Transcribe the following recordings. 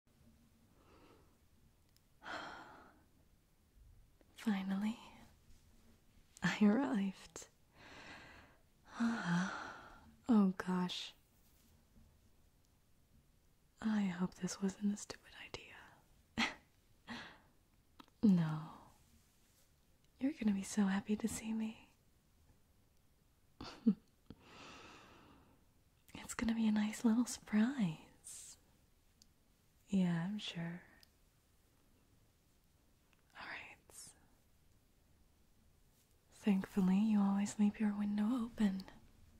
Finally, I arrived. oh gosh. I hope this wasn't a stupid idea. no. You're gonna be so happy to see me it's gonna be a nice little surprise. Yeah, I'm sure. Alright. Thankfully, you always leave your window open.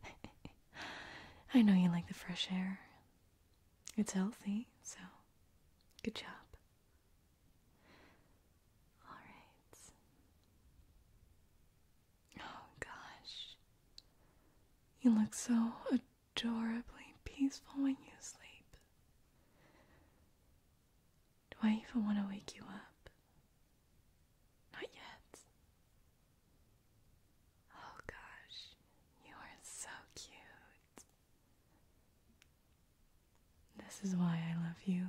I know you like the fresh air. It's healthy, so good job. All right. Oh gosh. You look so adorably peaceful when you sleep. Do I even want to wake you up? Not yet. Oh gosh, you are so cute. This is why I love you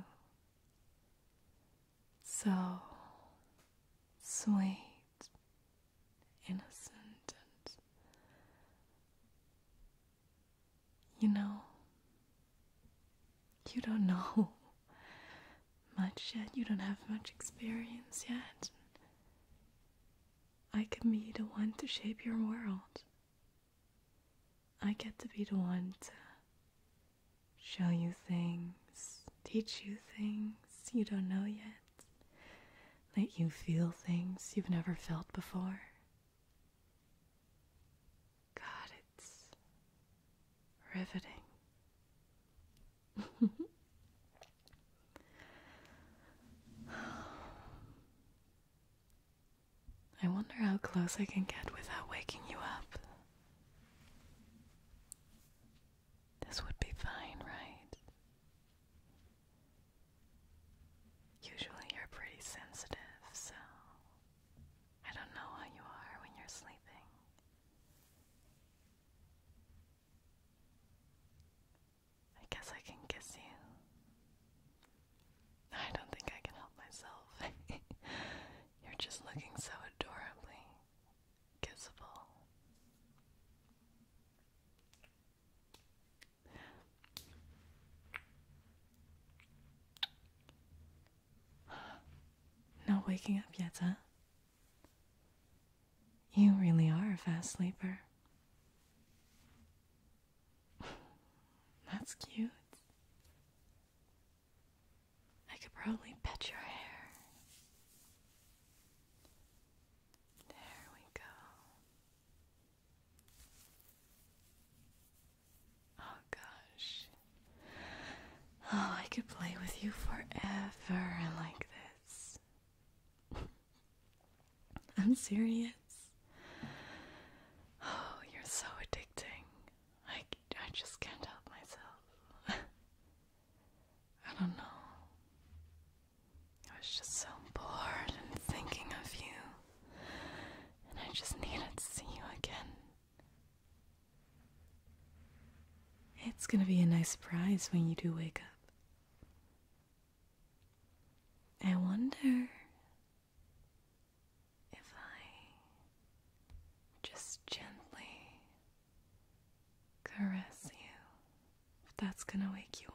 so sweet, innocent, and you know, you don't know much yet, you don't have much experience yet. I can be the one to shape your world. I get to be the one to show you things, teach you things you don't know yet, let you feel things you've never felt before. God, it's riveting. I wonder how close I can get without waking you up. This would be fine, right? Usually you're pretty sensitive, so I don't know how you are when you're sleeping. I guess I can kiss you. I don't think I can help myself. You're just looking so adorably kissable. Not waking up yet, huh? You really are a fast sleeper. That's cute. I could probably pet your hair. There we go. Oh gosh. Oh, I could play with you forever like this. I'm serious. Oh, you're so addicting. I, I just can't help myself. I don't know. I was just so bored and thinking of you. And I just needed to see you again. It's gonna be a nice surprise when you do wake up. I wonder if I just gently caress you, if that's going to wake you up.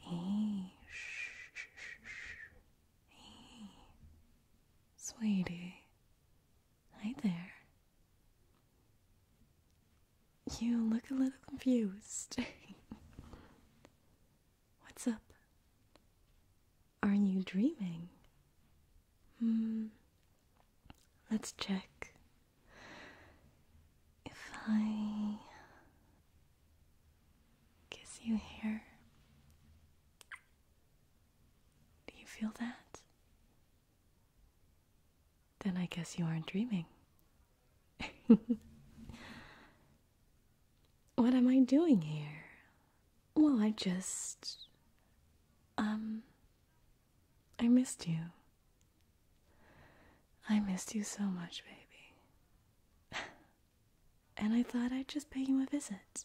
Hey, shh, shh, shh. Hey. Sweetie. Hi there. You look a little confused. What's up? Aren't you dreaming? Hmm. Let's check. If I kiss you here, do you feel that? Then I guess you aren't dreaming. what am I doing here? Well, I just. Um. I missed you. I missed you so much, baby. and I thought I'd just pay you a visit.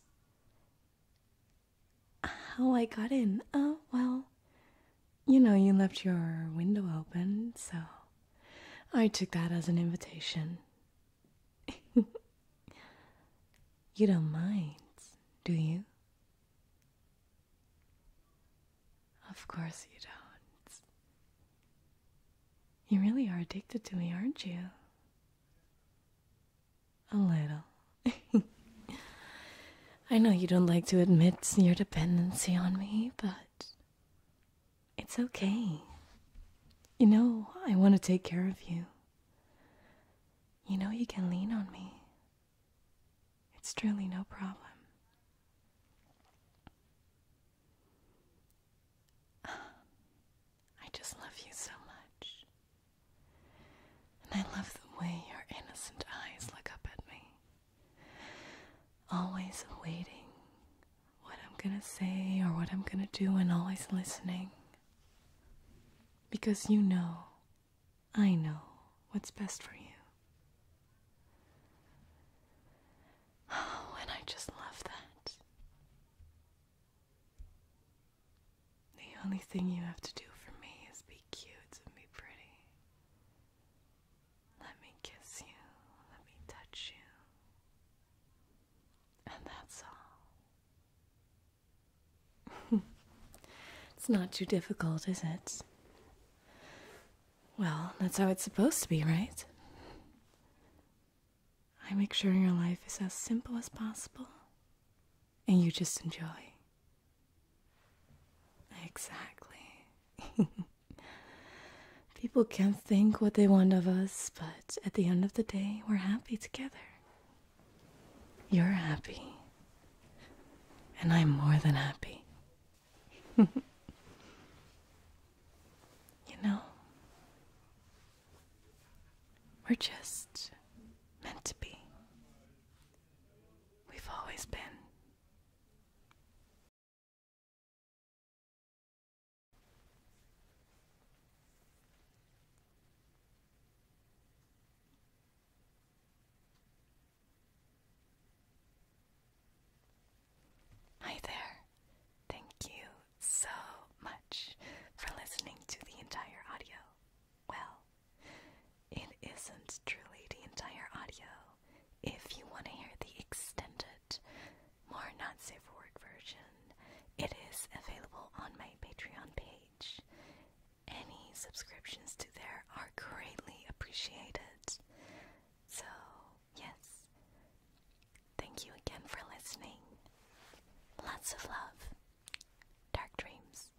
How I got in? Oh, well, you know, you left your window open, so I took that as an invitation you don't mind, do you? Of course you don't. You really are addicted to me, aren't you? A little. I know you don't like to admit your dependency on me, but it's okay. You know, I want to take care of you. You know you can lean on me. It's truly no problem. I just love you so much. And I love the way your innocent eyes look up at me, always waiting what I'm gonna say or what I'm gonna do and always listening. Because you know, I know what's best for you. Oh, and I just love that. The only thing you have to do for me is be cute and be pretty. Let me kiss you, let me touch you. And that's all. it's not too difficult, is it? Well, that's how it's supposed to be, right? I make sure your life is as simple as possible and you just enjoy. Exactly. People can think what they want of us, but at the end of the day, we're happy together. You're happy. And I'm more than happy. you know, we're just meant to be. We've always been. Hi there. Thank you so much for listening to the entire audio. Well, it isn't truly the entire audio if you want to hear the extended, more not safe for work version, it is available on my Patreon page. Any subscriptions to there are greatly appreciated. So, yes. Thank you again for listening. Lots of love. Dark dreams.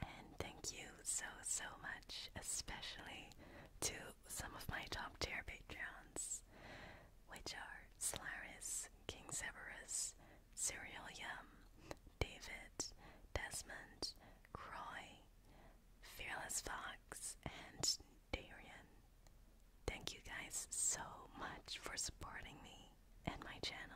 And thank you so, so much, especially to some of my top tier patrons, which are Solaris, King Severus, Serial Yum, David, Desmond, Croy, Fearless Fox, and Darian. Thank you guys so much for supporting me and my channel.